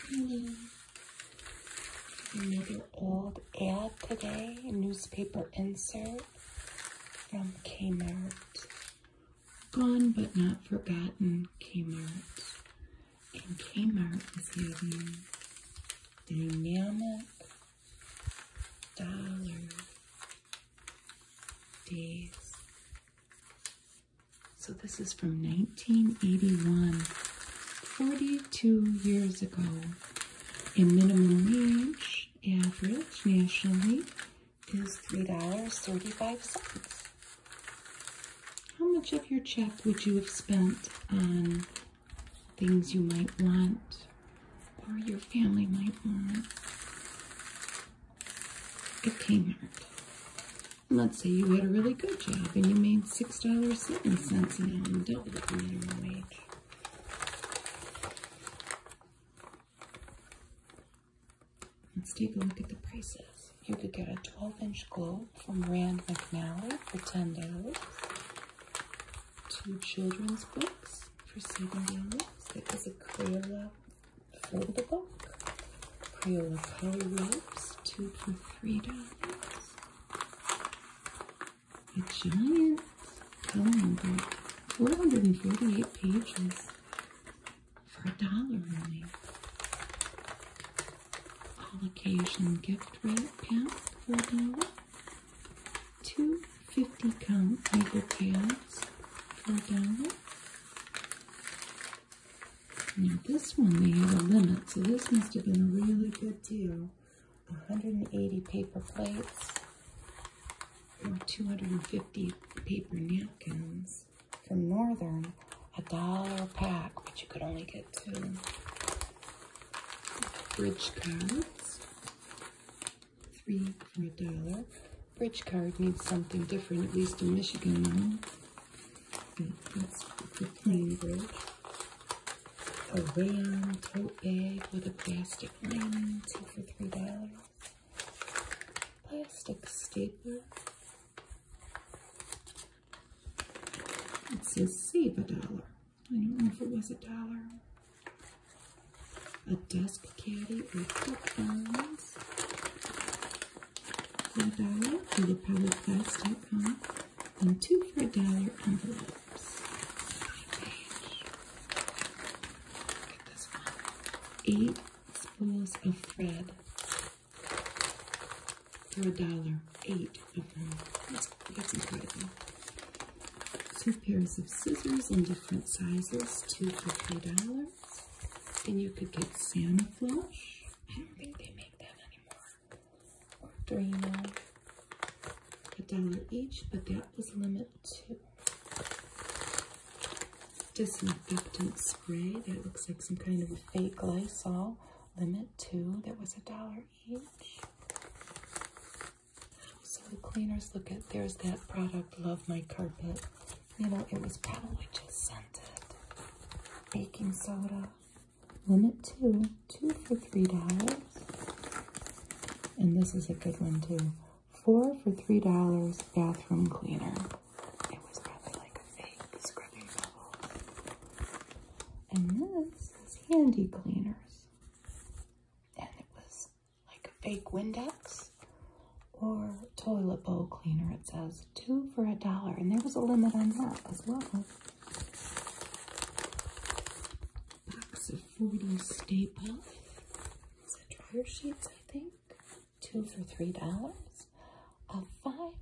Pretty. Another old ad today, newspaper insert from Kmart. Gone but not forgotten Kmart. And Kmart is having dynamic dollar days so this is from 1981, 42 years ago. A minimum wage average nationally is $3.35. How much of your check would you have spent on things you might want or your family might want? It came out. Let's say you had a really good job and you made $6.07 an hour, double the minimum wage. Let's take a look at the prices. You could get a 12-inch globe from Rand McNally for $10. Two children's books for $7. There is a Crayola foldable book. Crayola color ropes, two for three dollars. A giant coloring book, 448 pages for a dollar only. All occasion gift wrap pack four dollars. Two Two 50 count paper pads for a now this one, they had a limit, so this must have been a really good deal. 180 paper plates or 250 paper napkins from Northern, a dollar pack, but you could only get two. Bridge cards, three for a dollar. Bridge card needs something different, at least a Michigan now. Hmm, okay, that's the plain bridge. A rayon tote bag with a plastic lining, two for three dollars. Plastic stapler. It says save a dollar. I don't know if it was a dollar a desk caddy with headphones, for a dollar for the polyplastic huh? and two for a dollar envelopes. Eight spools of thread for a dollar. Eight of them. that's incredible. Two pairs of scissors in different sizes, two for three dollars. And you could get Santa Flush. I don't think they make that anymore. Or Drano. A dollar each, but that was limit two. Disinfectant spray. That looks like some kind of a fake Lysol. Limit two. That was a dollar each. So the cleaners look at there's that product, Love My Carpet you know, it was probably just scented baking soda. Limit two, two for three dollars. And this is a good one too. Four for three dollars bathroom cleaner. It was probably like a fake scrubbing bubble. And this is handy cleaners. And it was like fake Windex or toilet bowl cleaner. It says two for a dollar, and there was a limit on that as well. Box of 40 staple. dryer sheets, I think? Two for three dollars. A five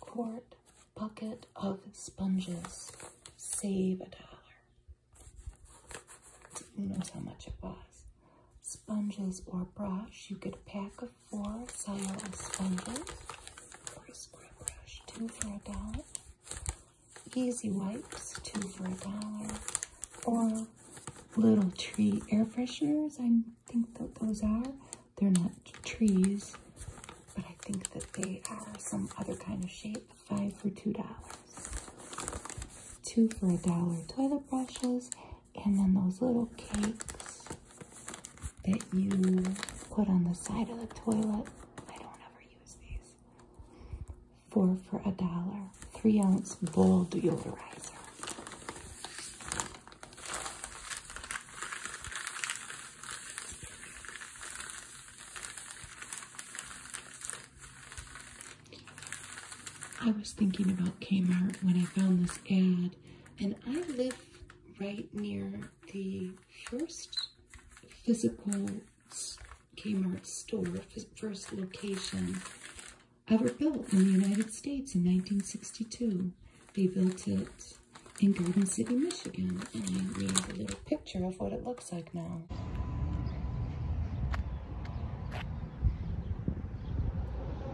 quart bucket of sponges. Save a dollar. Who knows how much it was? sponges or brush. You get a pack of four cellular sponges or a square brush, two for a dollar. Easy wipes, two for a dollar. Or little tree air fresheners, I think that those are. They're not trees, but I think that they are some other kind of shape, five for two dollars two for a dollar toilet brushes, and then those little cakes that you put on the side of the toilet. I don't ever use these. Four for a dollar, three ounce bowl deodorizer. I was thinking about Kmart when I found this ad, and I live right near the first physical Kmart store, first location ever built in the United States in 1962. They built it in Garden City, Michigan, and we have a little picture of what it looks like now.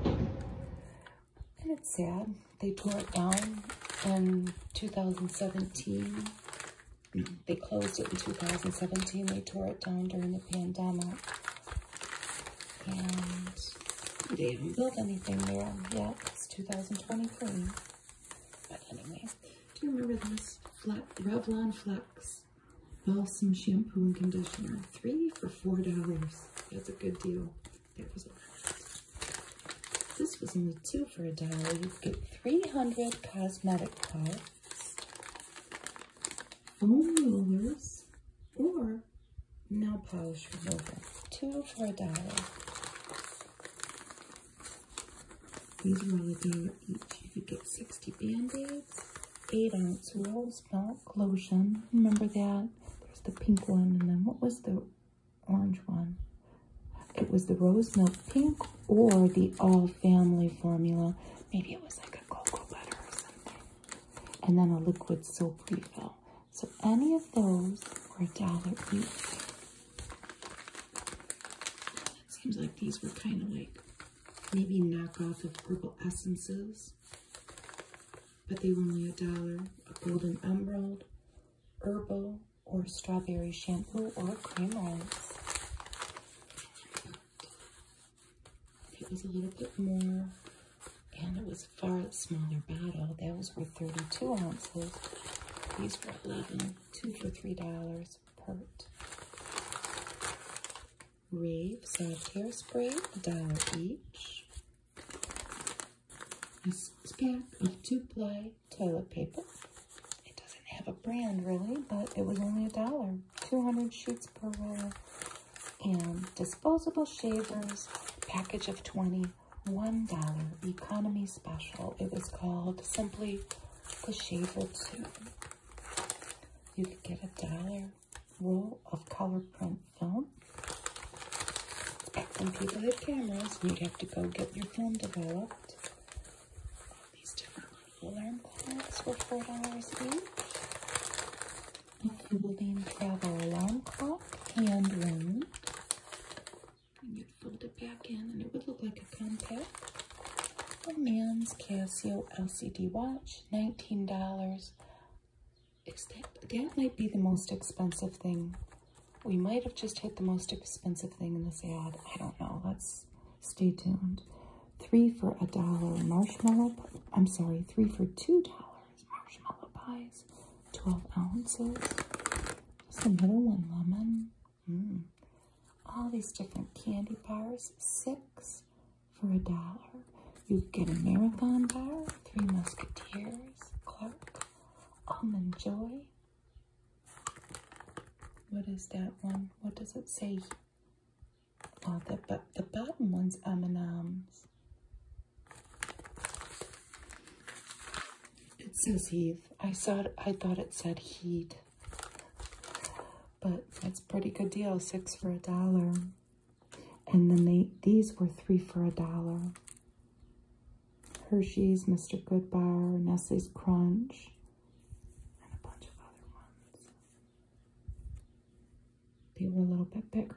And it's sad. They tore it down in 2017. They closed it in 2017. They tore it down during the pandemic. And they haven't built anything there yet. It's 2023. But anyway, do you remember this? Flat, Revlon Flex balsam shampoo and conditioner. Three for four dollars. That's a good deal. That was a This was only two for a dollar. You get 300 cosmetic products, foam or nail polish remover. Two for a dollar. These are only dollar each. You could get 60 band-aids, eight ounce rose Milk Lotion. Remember that? There's the pink one, and then what was the orange one? It was the Rose Milk Pink or the All Family Formula. Maybe it was like a cocoa butter or something. And then a liquid soap refill. So any of those were a dollar each. seems like these were kind of like maybe knockoff of purple essences, but they were only a dollar. A golden emerald, herbal, or strawberry shampoo, or cream rinse. It was a little bit more, and it was a far smaller bottle. Those were 32 ounces. These were even two for $3 per. Rave Soft Hairspray, a dollar each. A pack of two-ply toilet paper. It doesn't have a brand, really, but it was only a dollar. 200 sheets per roll. And disposable shavers, package of twenty, one dollar economy special. It was called simply the Shaver 2. You could get a dollar roll of color print film. and people had cameras, you'd have to go get your film developed. these different alarm clocks were four dollars each. Including travel alarm clock, hand wound. And you'd fold it back in and it would look like a compact. A man's Casio LCD watch, $19. Is that, that might be the most expensive thing. We might have just hit the most expensive thing in this ad. I don't know. Let's stay tuned. Three for a dollar marshmallow. I'm sorry, three for $2 marshmallow pies, 12 ounces. Just another one, lemon. Mm all these different candy bars, six for a dollar. You get a marathon bar, Three Musketeers, Clark, Almond Joy. What is that one? What does it say? Oh, the, the bottom one's M&M's. It says Heath. I saw I thought it said Heat. But that's pretty good deal, six for a dollar. And then these were three for a dollar. Hershey's, Mr. Goodbar, Nestle's Crunch, and a bunch of other ones. They were a little bit bigger.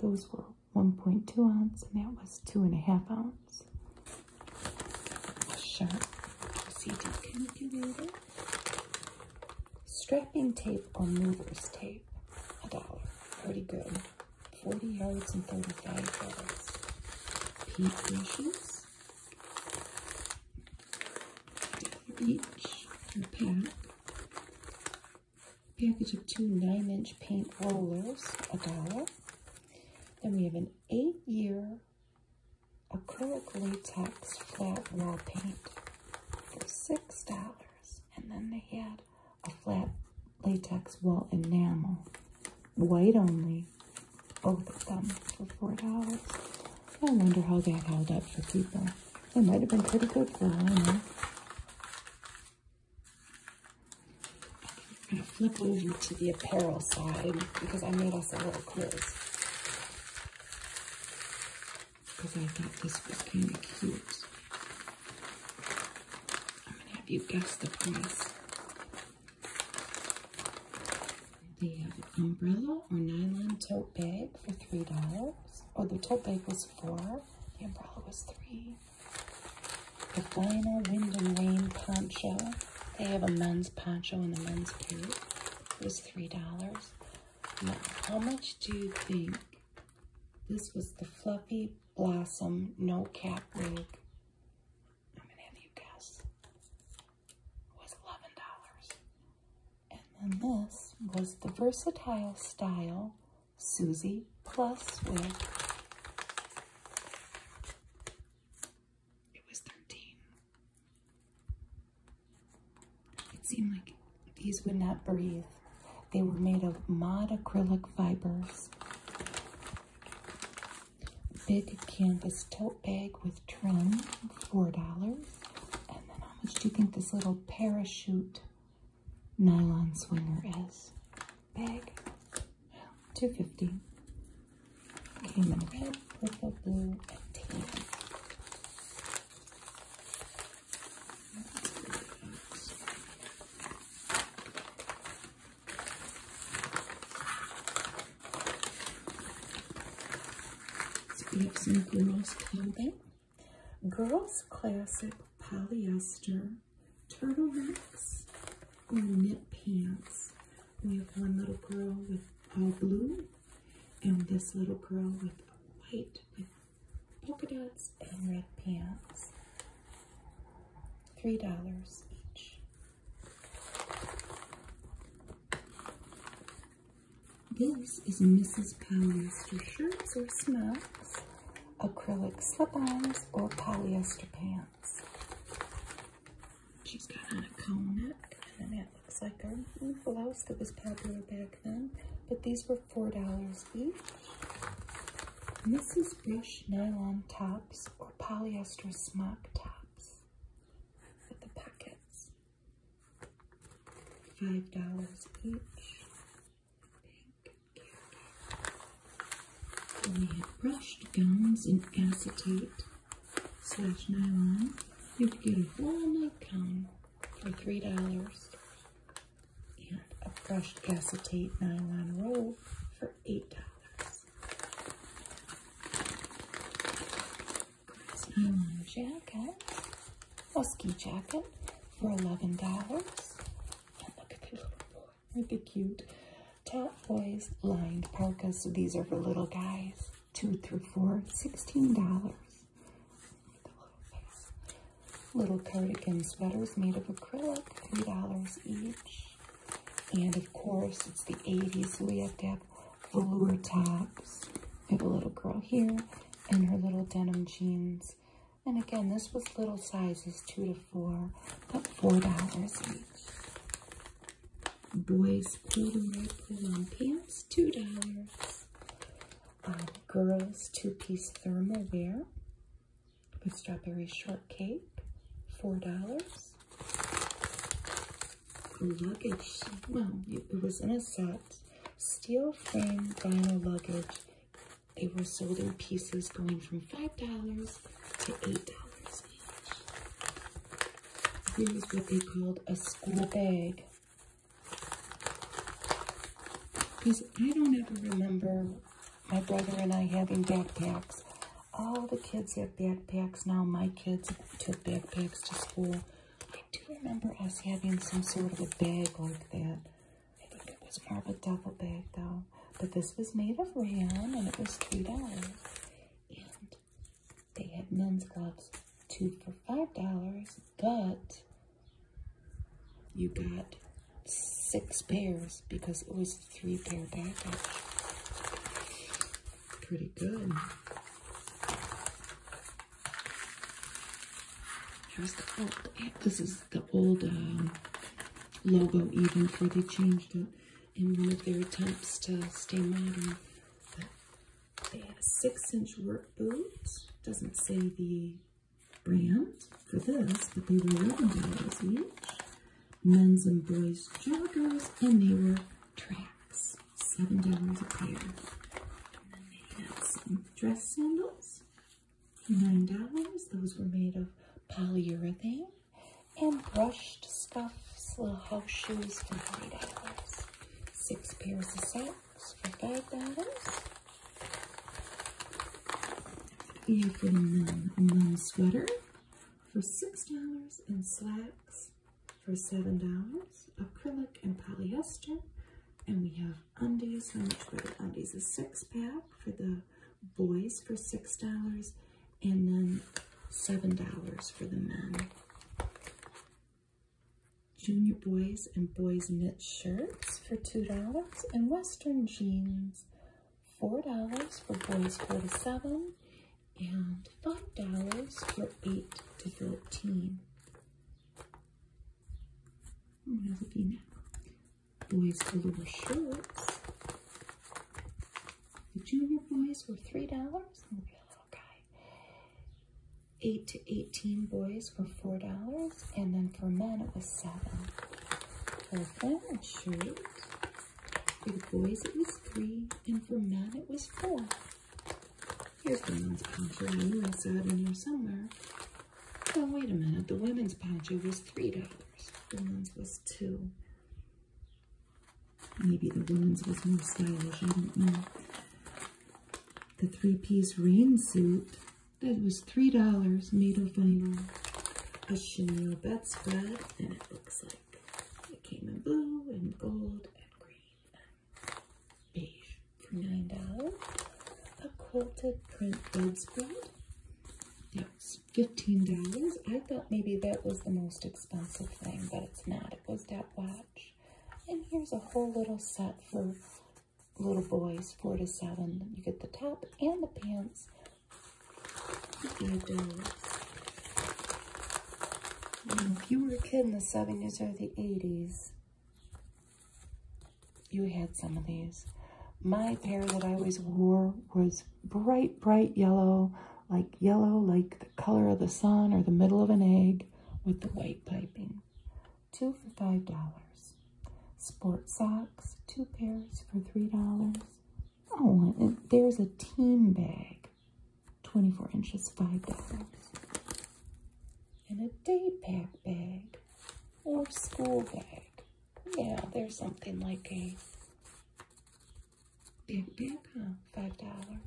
Those were 1.2 ounces, and that was two and a half ounces. A Strapping tape or movers tape, a dollar. Pretty good. 40 yards and 35 yards. Paint brushes. Each a pack. package of two 9-inch paint rollers, a dollar. Then we have an 8-year acrylic latex flat wall paint for six dollars, and then they had a flat latex wall enamel, white only, both of them for four dollars. I wonder how that held up for people. It might have been pretty good for all I know. i gonna flip over to the apparel side because I made us a little quiz because I thought this was kind of cute. I'm gonna have you guess the price. They have an umbrella or nylon tote bag for three dollars. Oh, the tote bag was four. The umbrella was three. The vinyl wind and rain poncho. They have a men's poncho and a men's coat was $3. Now, how much do you think this was the Fluffy Blossom No Cap Wig? I'm going to have you guess. was $11. And then this was the Versatile Style Susie Plus Wig. It was 13. It seemed like these would not breathe. They were made of mod acrylic fibers. Big canvas tote bag with trim, $4. And then how much do you think this little parachute nylon swinger is? Bag, 250 red, purple, blue, and tan. we have some girls' clothing. Girls' classic polyester turtlenecks or knit pants. We have one little girl with all blue and this little girl with white with polka dots and red pants. Three dollars each. This is a Mrs. Polyester shirts or smocks, acrylic slip-ons or polyester pants. She's got on a cowl neck, and that looks like our blouse that was popular back then. But these were $4 each. Mrs. Brush nylon tops or polyester smock tops with the pockets. $5 each. And they had brushed gowns in acetate Slash nylon. You can get a whole night gown for three dollars. And a brushed acetate nylon roll for eight dollars. This nylon jacket, a ski jacket for eleven dollars. And look at the little boy with cute top boys lined parkas. So these are for little guys two through four, $16. Little cardigan sweaters made of acrylic, $3 each. And of course, it's the 80s, so we have to have velour tops. We have a little girl here in her little denim jeans. And again, this was little sizes, two to four, but $4 each. Boys cool and red pull pants, two dollars. Um, girls two-piece thermal wear with strawberry shortcake, four dollars. Luggage, it was in a set. Steel frame vinyl luggage. They were sold in pieces going from five dollars to eight dollars. This is what they called a school bag. Because I don't ever remember my brother and I having backpacks. All the kids have backpacks now. My kids took backpacks to school. I do remember us having some sort of a bag like that. I think it was more of a duffel bag though. But this was made of rayon and it was $3. They had men's gloves, two for $5, but you got six pairs because it was a three pair package. Pretty good. Here's the this is the old um, logo even for they changed it in one of their attempts to stay modern. they had a six inch work boot. Doesn't say the brand for this, but they were $11 each. Men's and boys joggers, and they were tracks, $7 a pair. And then they had some dress sandals, $9. Those were made of polyurethane and brushed stuffs, little house shoes for $3. Six pairs of socks for $5. Even a mom sweater for $6 and slacks for $7, acrylic and polyester. And we have undies, how much better. the undies? A six pack for the boys for $6 and then $7 for the men. Junior boys and boys knit shirts for $2 and western jeans $4 for boys forty-seven, and $5 for 8 to 13. What does it be now? Boys velour shirts the junior boys were $3 8 to 18 boys were $4 and then for men it was 7 For flannel shirts, for boys it was 3 and for men it was 4 Here's the women's poncho. I knew I saw it in here somewhere. Oh, wait a minute. The women's poncho was $3. The men's was 2 Maybe the woman's was more stylish, I don't know. The three-piece rain suit that was $3 made of vinyl. A chenille bedspread, and it looks like it came in blue and gold and green and beige for $9. A quilted print bedspread that $15. I thought maybe that was the most expensive thing, but it's not. It was that watch. And here's a whole little set for little boys, four to seven. You get the top and the pants. If you were a kid in the 70s or the 80s, you had some of these. My pair that I always wore was bright, bright yellow, like yellow, like the color of the sun or the middle of an egg with the white piping. Two for $5. Sports socks, two pairs for $3. Oh, there's a team bag, 24 inches, $5. And a day pack bag or school bag. Yeah, there's something like a Big, big, huh? Five dollars.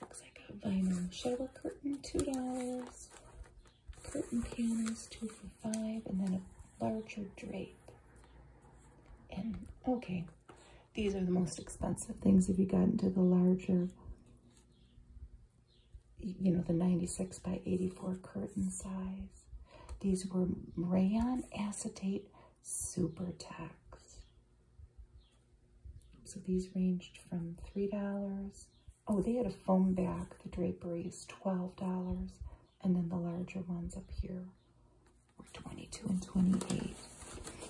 Looks like a vinyl shower curtain, two dollars. Curtain panels, two for five, and then a larger drape. And okay, these are the most expensive things Have you gotten to the larger, you know, the 96 by 84 curtain size. These were rayon acetate super tax. So these ranged from $3. Oh, they had a foam back, the draperies, $12. And then the larger ones up here were 22 and 28.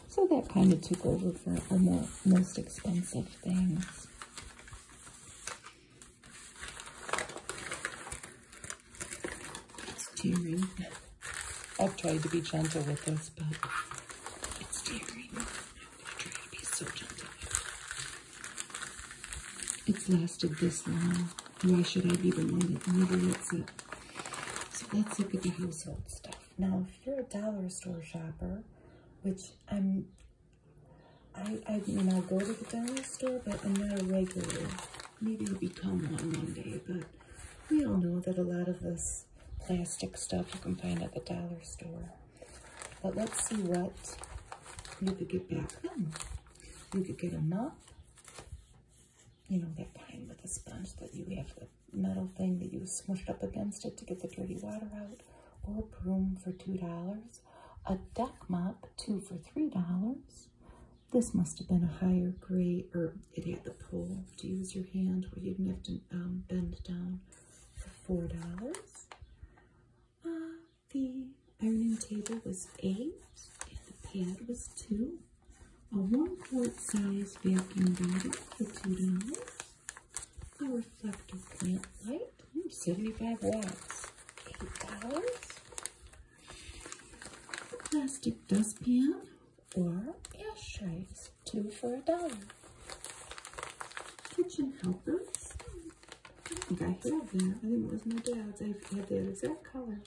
So that kind of took over for the most expensive things. It's tearing. I've tried to be gentle with this, but it's tearing. I'm going to try to be so gentle It's lasted this long. Why should I be the one that never lets it? So let's look at the household stuff. Now, if you're a dollar store shopper, which I'm, I, I, you know, go to the dollar store, but I'm not a regular Maybe I'll become one one day, but we all know that a lot of this plastic stuff you can find at the dollar store. But let's see what you could get back then. You could get a mop, you know, that kind with a sponge that you have the metal thing that you smushed up against it to get the dirty water out, or a broom for $2, a deck mop, two for $3, this must have been a higher grade, or it had the pull to use your hand where you did have to um, bend down for $4. Uh, the ironing table was 8 and the pad was 2 A 1 quart size vacuum bottle for $2. A reflective plant light, hmm, 75 watts, $8 plastic dustpan or ashtrays, two for a dollar. Kitchen helpers. I think I have that. I think it was my dad's. I had that exact color.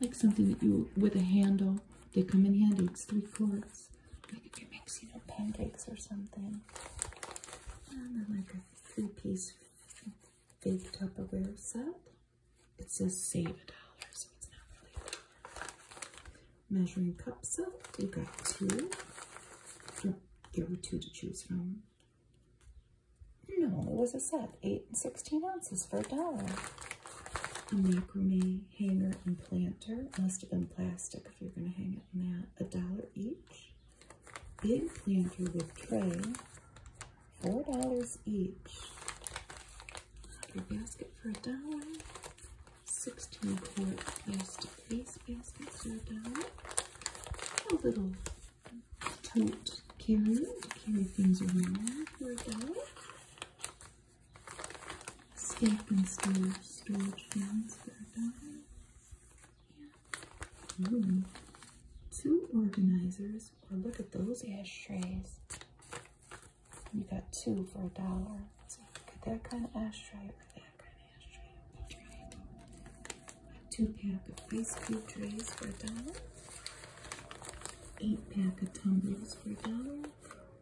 Like something that you, with a handle, they come in handy. It's three quarts. Like if you're mixing up pancakes or something. And then like a three-piece big Tupperware set. It says save a dollar, so it's not really a Measuring cup set, you got two. There were two to choose from. No, it was a set, eight and 16 ounces for a dollar. A macrame hanger and planter, must have been plastic if you're gonna hang it in that. A dollar each. Big planter with tray, four dollars each. Your basket for a dollar. Sixteen quart plastic face basket for a dollar. A little tote carrier to carry things around for a dollar. Stack and store storage bins for a dollar. Hmm, two organizers look at those ashtrays. You got two for a dollar. So you that kind of ashtray that kind of ashtray. two pack of ice cube trays for a dollar. Eight pack of tumblers for a dollar.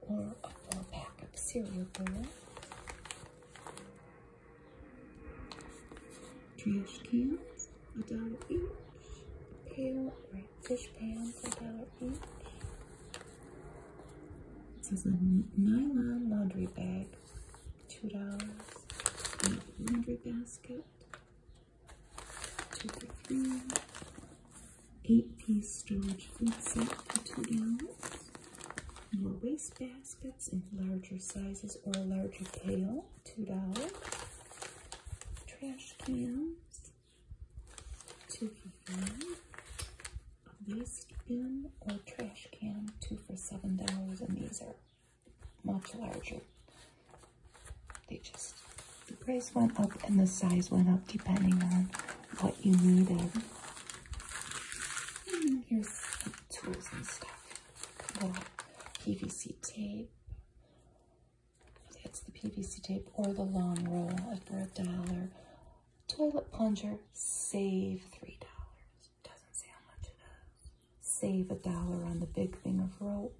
Or a four pack of cereal bowl. Trash cans a dollar each. Pail, right, fish pans, a dollar each. It says a nylon laundry bag, two dollars. Laundry basket, two for three. Eight-piece storage food set for two dollars. More waste baskets in larger sizes or a larger pail, two dollars trash cans, two for five. These spoon or trash can, two for seven dollars, and these are much larger. They just the price went up and the size went up depending on what you needed. here's tools and stuff. Little PVC tape, it's the PVC tape or the long roll for a dollar. Toilet plunger, save $3. Doesn't say how much it is. Save a dollar on the big thing of rope.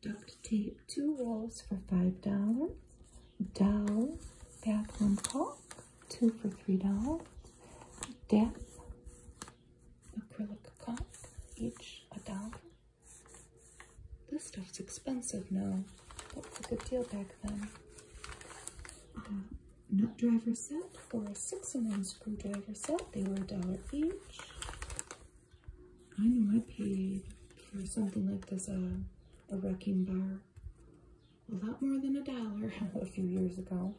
Duct tape, two rolls for $5. Dow bathroom talk two for three dollars. Dap acrylic caulk, each a dollar. This stuff's expensive now. That was a good deal back then. nut driver set or a six in one screwdriver set, they were a dollar each. I know I paid for something like this, uh, a wrecking bar a lot more than a dollar a few years ago.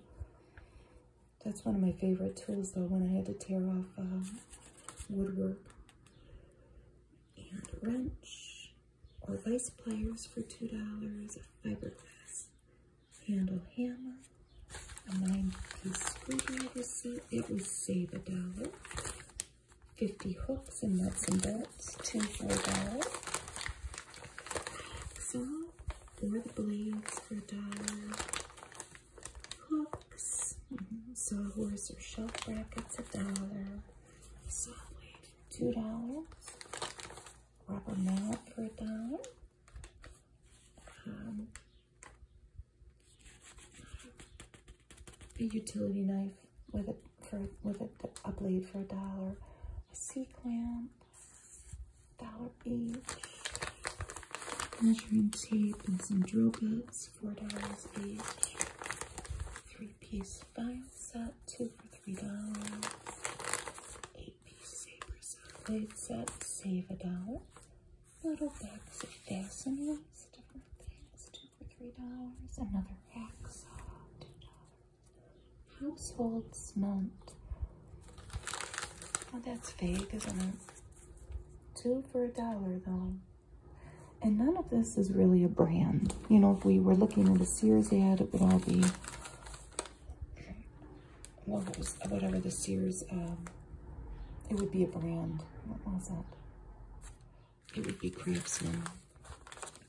That's one of my favorite tools though when I had to tear off uh, woodwork. And wrench or vice pliers for $2, a fiberglass handle hammer, a nine piece screwdriver set, it would save a dollar. 50 hooks and nuts and bolts, two for a dollar. So there the blades for a dollar hooks, mm horse sawhorse or shelf brackets a dollar, saw blade two dollars, rubber mallet for a dollar. Um, a utility knife with a with a blade for a dollar, a C clamp, dollar each. Measuring tape and some drill bits, four dollars each. Three-piece fine set, two for three dollars. Eight-piece saber set, save a dollar. Little bags of fasteners, different things, two for three dollars. Another hacksaw, two dollars. Household smelt. Oh, that's fake, isn't it? Two for a dollar, though. And none of this is really a brand. You know, if we were looking at a Sears ad, it would all be logos, whatever the Sears, um, it would be a brand. What was it? It would be Craftsman.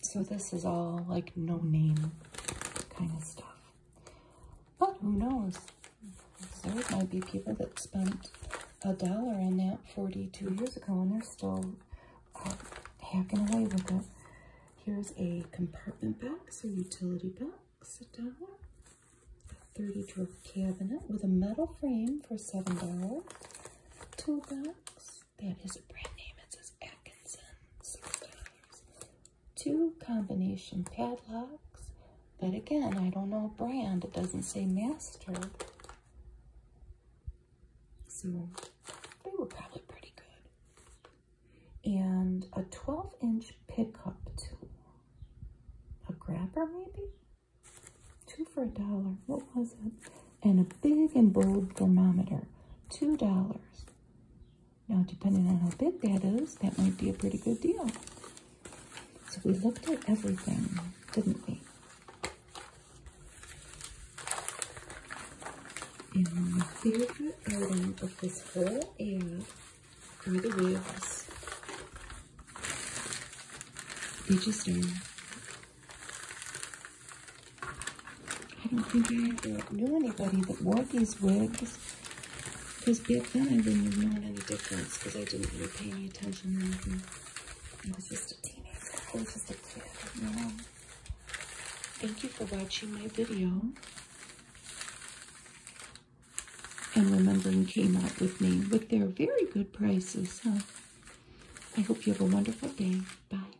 So this is all like no name kind of stuff. But who knows? There might be people that spent a dollar on that 42 years ago and they're still uh, hacking away with it. Here's a compartment box, a utility box, a dollar. a 30 drawer cabinet with a metal frame for $7. Toolbox. That is a brand name. It says Brooks 2 combination padlocks, but again, I don't know brand. It doesn't say master. they were probably pretty good. And a 12 inch pickup tool. A grabber maybe? Two for a dollar. What was it? And a big and bold thermometer. Two dollars. Now, depending on how big that is, that might be a pretty good deal. So we looked at everything, didn't we? And the favorite item of this whole ad are the wheels. They just are. I don't think I ever knew anybody that wore these wigs. Because back then I wouldn't have known any difference because I didn't really pay any attention to anything. I was just a teenager. I was just a kid, you know. Thank you for watching my video. And Remembering came out with me but they're very good prices, huh? I hope you have a wonderful day. Bye.